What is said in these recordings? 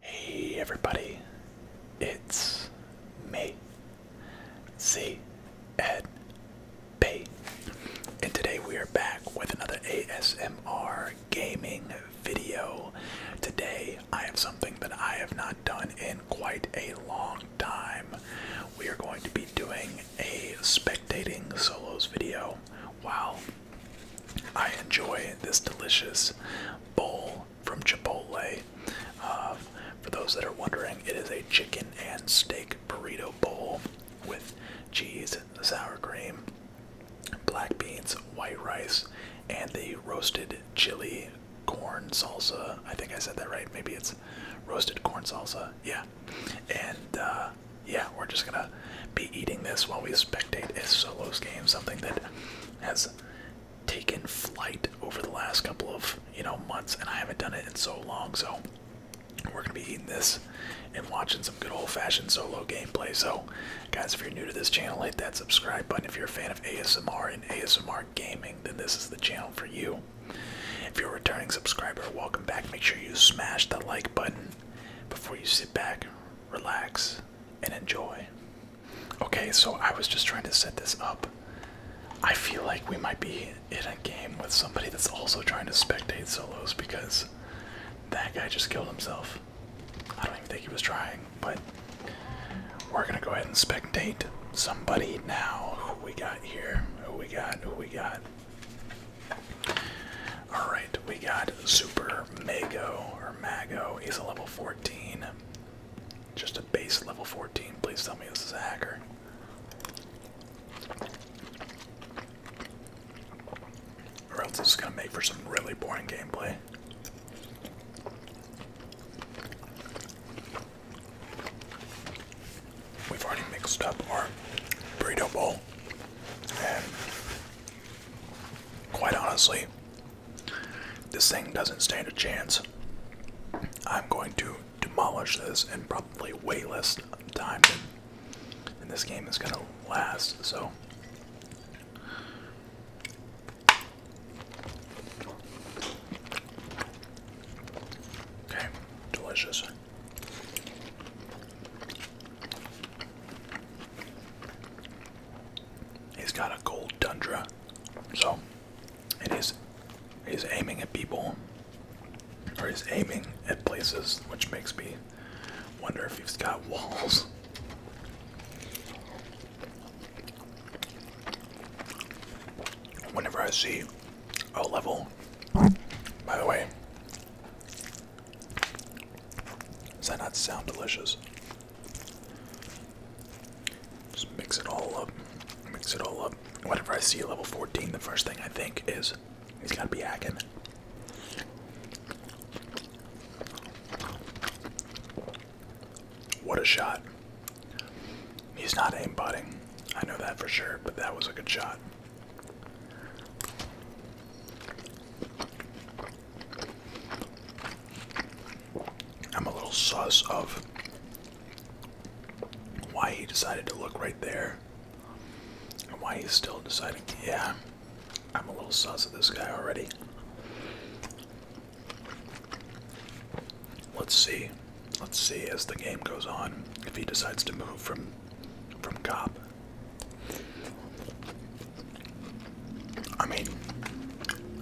Hey everybody, it's me, Z Ed Bay, and today we are back with another ASMR gaming video. Today I have something that I have not done in quite a long time. We are going to be doing a spectating solos video. While I enjoy this delicious bowl from Chipotle. Uh, for those that are wondering, it is a chicken and steak burrito bowl with cheese, sour cream, black beans, white rice, and the roasted chili corn salsa. I think I said that right. Maybe it's roasted corn salsa. Yeah. And uh, yeah, we're just gonna be eating this while we spectate a solos game, something that has taken flight over the last couple of you know months, and I haven't done it in so long. So we're gonna be eating this and watching some good old-fashioned solo gameplay. So, guys, if you're new to this channel, hit that subscribe button. If you're a fan of ASMR and ASMR gaming, then this is the channel for you. If you're a returning subscriber, welcome back. Make sure you smash the like button before you sit back, relax, and enjoy. Okay, so I was just trying to set this up. I feel like we might be in a game with somebody that's also trying to spectate solos because that guy just killed himself. I don't even think he was trying, but we're gonna go ahead and spectate somebody now. Who we got? got here? we got? Who we got? Alright, we got Super Mago or Mago. He's a level 14. Just a base level 14. Please tell me this is a hacker. Or else this is gonna make for some really boring gameplay. We've already mixed up our burrito bowl, and quite honestly, this thing doesn't stand a chance. I'm going to demolish this in probably way less time than, this game is going to last. So. Okay, delicious. He's got a gold dundra, so it is he's aiming at people, or he's aiming at places, which makes me wonder if he's got walls. Whenever I see Oh level. By the way, does that not sound delicious? Just mix it all up. Mix it all up. Whatever I see level 14, the first thing I think is he's gotta be hacking. What a shot. He's not aimbotting. I know that for sure, but that was a good shot. I'm a little sus of why he decided to look right there and why he's still deciding. Yeah, I'm a little sus of this guy already. Let's see. Let's see as the game goes on if he decides to move from from cop. I mean,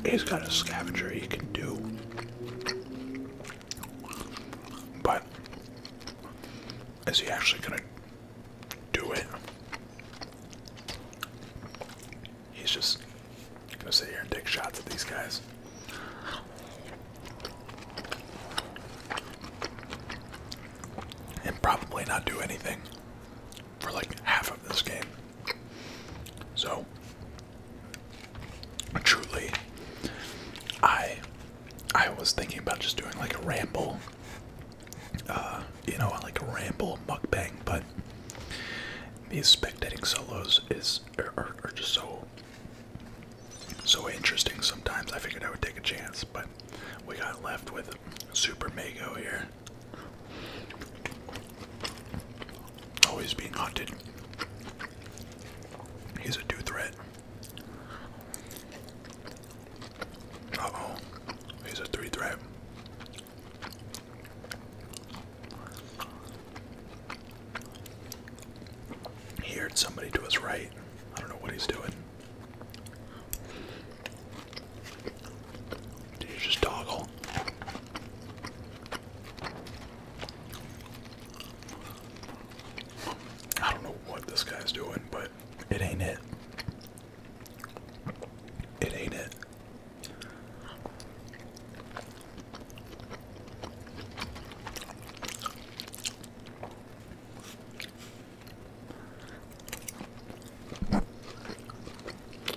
he's got a scavenger he can do. But is he actually gonna do it? He's just I'm gonna sit here and take shots at these guys. And probably not do anything for like half of this game. So, truly, I I was thinking about just doing like a ramble, uh, you know, like a ramble mukbang, but these spectating solos is are, just so so interesting sometimes. I figured I would take a chance, but we got left with Super Mago here. Always being hunted. He's a two threat. Uh oh. He's a three threat. He heard somebody to his right. I don't know what he's doing. Did you just toggle? I don't know what this guy's doing, but it ain't it. It ain't it.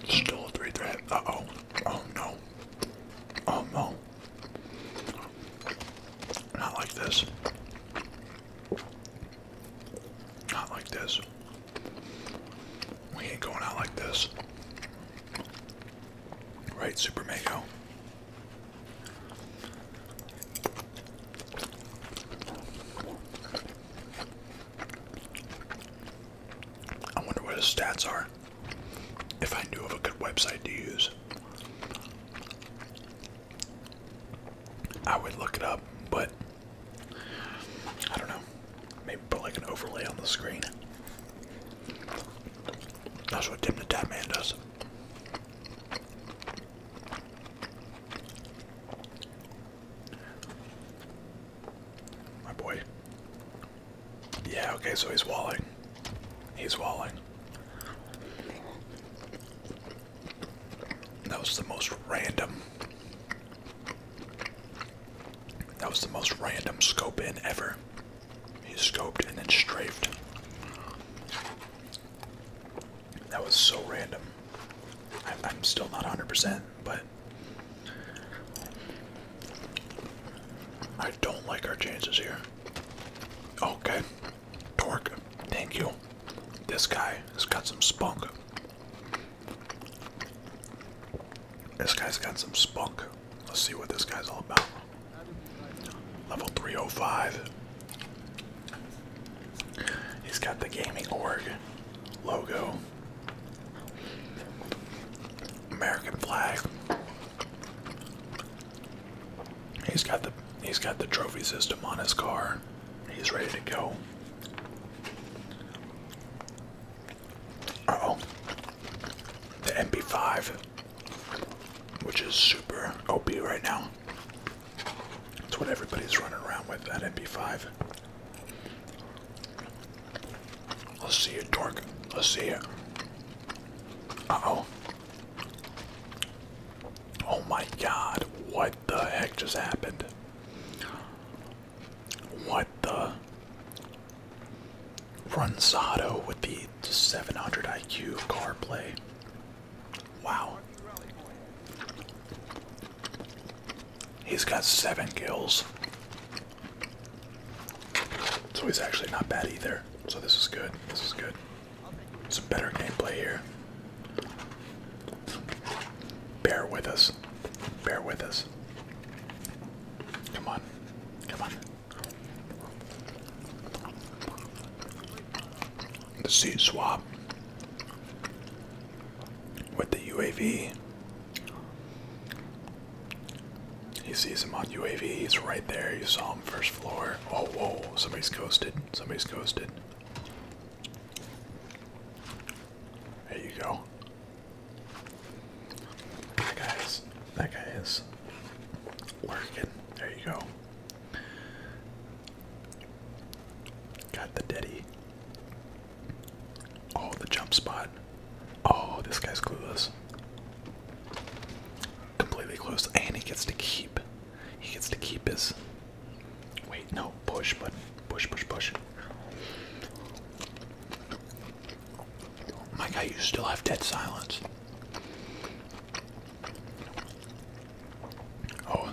Still a three threat. Uh oh. Oh no. Oh no. Not like this. Not like this. We ain't going out like this. Right, Super Mako? I wonder what his stats are. If I knew of a good website to use, I would look it up, but I don't know. Maybe put like an overlay on the screen. That's what Tim the Tap Man does. My boy. Yeah, okay, so he's walling. He's walling. That was the most random. That was the most random scope in ever. He scoped and then strafed. That was so random. I'm, I'm still not 100%, but I don't like our chances here. Okay. Torque, thank you. This guy has got some spunk. This guy's got some spunk. Let's see what this guy's all about. Level 305. He's got the gaming org logo. American flag. He's got the he's got the trophy system on his car. He's ready to go. oh. The MP5 which is super OP right now. That's what everybody's running around with at MP5. Let's see it, dork. Let's see it. Uh oh. Oh my god, what the heck just happened? What the? Runzado with the 700 IQ CarPlay. Wow. He's got seven kills. So he's actually not bad either. So this is good. This is good. Some better gameplay here. Bear with us. Bear with us. Come on. Come on. The sea swap with the UAV. He sees him on UAV, he's right there. You saw him first floor. Oh, whoa, somebody's coasted. Somebody's coasted. There you go. Hi guys, that guy is working. There you go. Got the Diddy. Oh, the jump spot. Oh, this guy's clueless. Completely clueless. And he gets to keep. He gets to keep his. Wait, no. Push button. Push, push, push. My guy, you still have dead silence. Oh,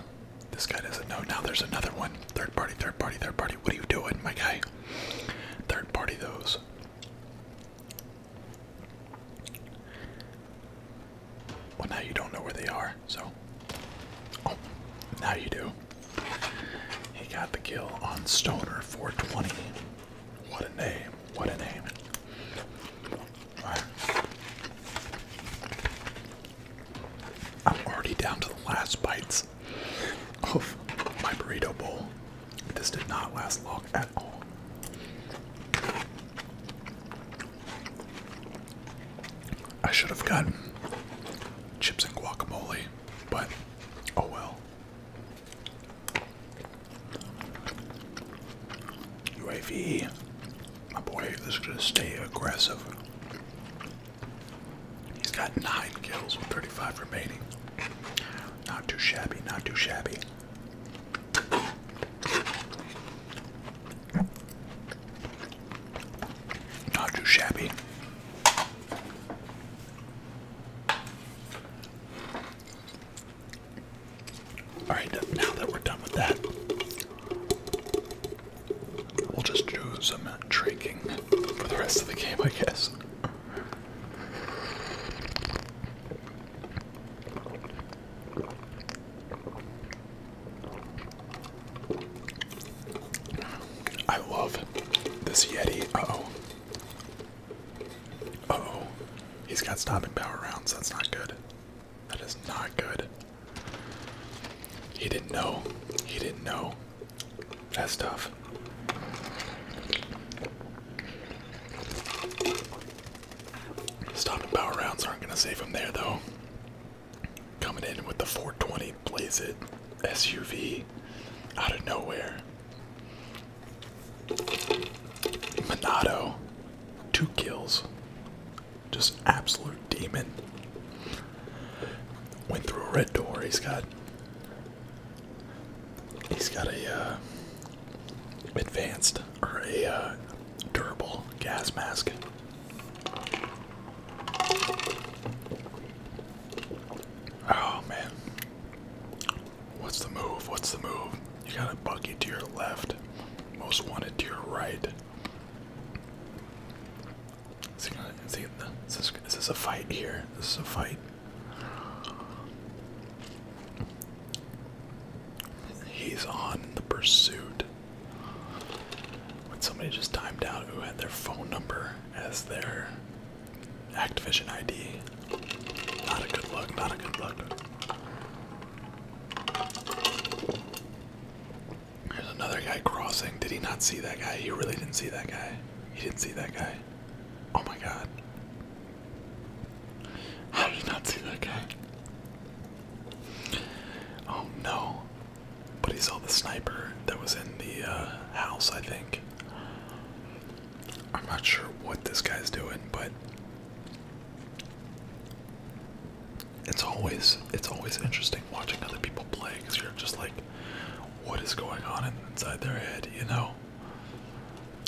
this guy doesn't know. Now there's another one. Third party, third party, third party. What are you doing, my guy? Third party those. Well, now you don't know where they are, so. Oh, now you do. He got the kill on Stoner 420. What a name. What a name. right. I'm already down to the last bites of my burrito bowl. This did not last long at all. I should have gotten chips and guacamole, but oh well. UAV. My boy is going to stay aggressive. He's got 9 kills with 35 remaining. Not too shabby, not too shabby. Not too shabby. All right, now that we're done with that, we'll just do some drinking for the rest of the game, I guess. I love this Yeti. Uh oh oh. He's got stopping power rounds. That's not good. That is not good. He didn't know. He didn't know. That's tough. Stopping power rounds aren't going to save him there, though. Coming in with the 420 Blaze It SUV out of nowhere. Monado, two kills. Just absolute demon. Went through a red door. He's got he's got a uh, advanced or a uh, durable gas mask. Oh man. What's the move? What's the move? You got a buggy to your left, most wanted to your right. Is, is, this, is this a fight here? This is a fight. He's on the pursuit. When somebody just timed out who had their phone number as their Activision ID. Not a good look, not a good look. There's another guy crossing. Did he not see that guy? He really didn't see that guy. He didn't see that guy. Oh my god. How did he not see that guy? Oh no. But he saw the sniper that was in the uh, house, I think. I'm not sure what this guy's doing, but it's always it's always interesting watching other people play because you're just like, what is going on inside their head? You know,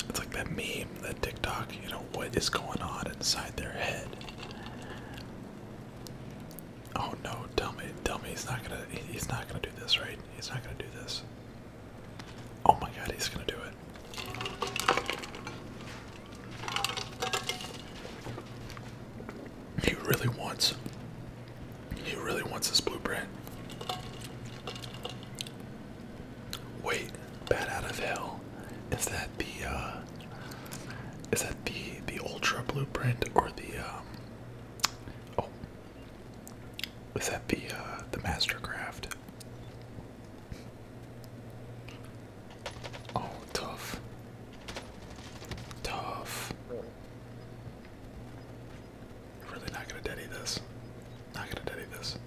it's like that meme, that TikTok. You know, what is going on inside their head? Oh no! Tell me, tell me he's not gonna he's not gonna do this, right? He's not gonna do this. Oh my god, he's gonna do it. He really wants he really wants this blueprint. Wait, bat out of hell. Is that the uh, is that the the ultra blueprint or the um, oh was that uh, the the Mastercraft? Oh, tough, tough. Really not gonna daddy this. Not gonna daddy this.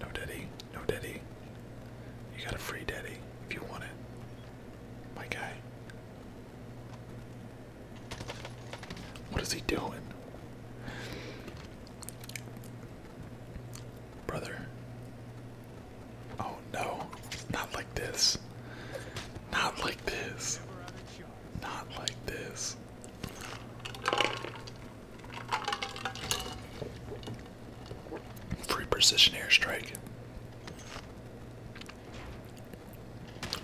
No daddy, no daddy. You got a free daddy if you want it, my guy. What is he doing? Brother. Oh no. Not like this. Not like this. Not like this. Free precision airstrike.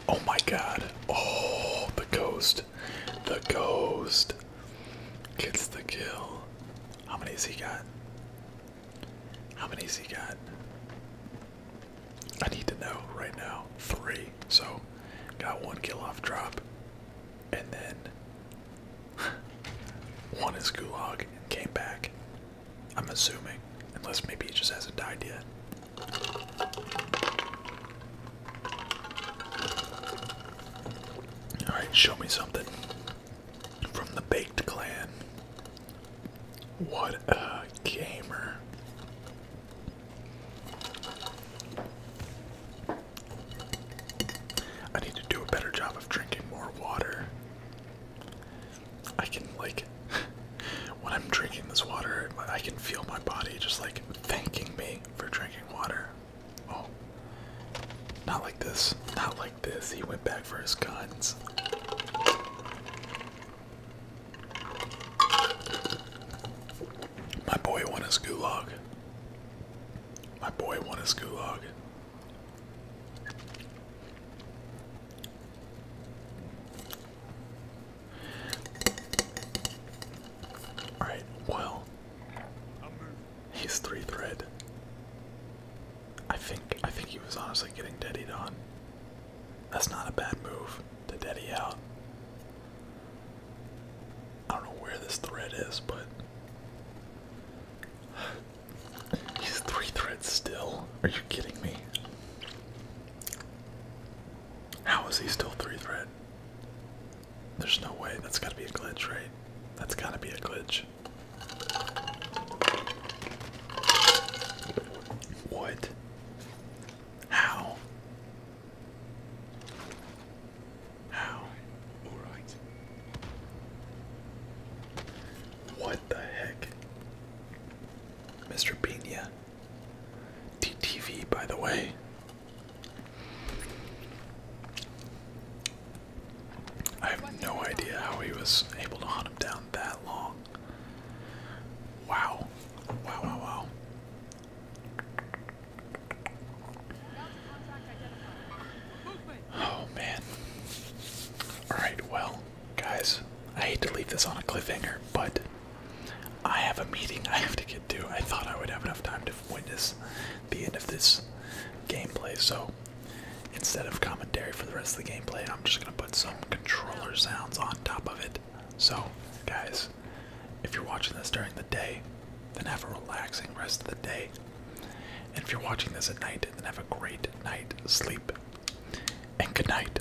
Oh my god. Oh, the ghost. The ghost gets the kill. How many's he got? How many's he got? I need to know right now. Three. So, got one kill off drop. And then one is gulag and came back. I'm assuming. Unless maybe he just hasn't died yet. Alright, show me something from the Baked Clan. What a gamer. I need to do a better job of drinking more water. I can, like, when I'm drinking this water, I can feel my body just like thanking me for drinking water. Oh. Not like this. Not like this. He went back for his guns. My boy won his gulag. My boy won his gulag. Alright, well, he's three thread. I think I think he was honestly getting deadied on. That's not a bad move to deady out. I don't know where this thread is, but he's three threads still. Are you kidding me? How is he still three threat? There's no way. That's got to be a glitch, right? That's got to be a glitch. What? How? How? All right. What the heck? Mr. Pena. DTV, by the way. I have no idea how he was able to hunt him down that long. Wow. Wow, wow, wow. Oh, man. Alright, well, guys, I hate to leave this on a cliffhanger, but I have a meeting I have to get to. I thought I would have enough time to witness the end of this gameplay, so instead of commentary for the rest of the gameplay, I'm just going to put some controller sounds on top of it. So, guys, if you're watching this during the day, then have a relaxing rest of the day. And if you're watching this at night, then have a great night sleep. And good night.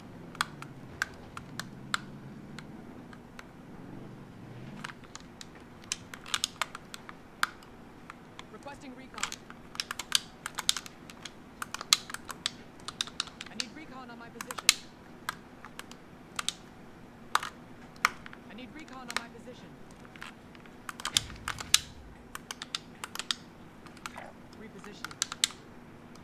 Requesting recon. I need recon on my position. I need recon on my position. Repositioning.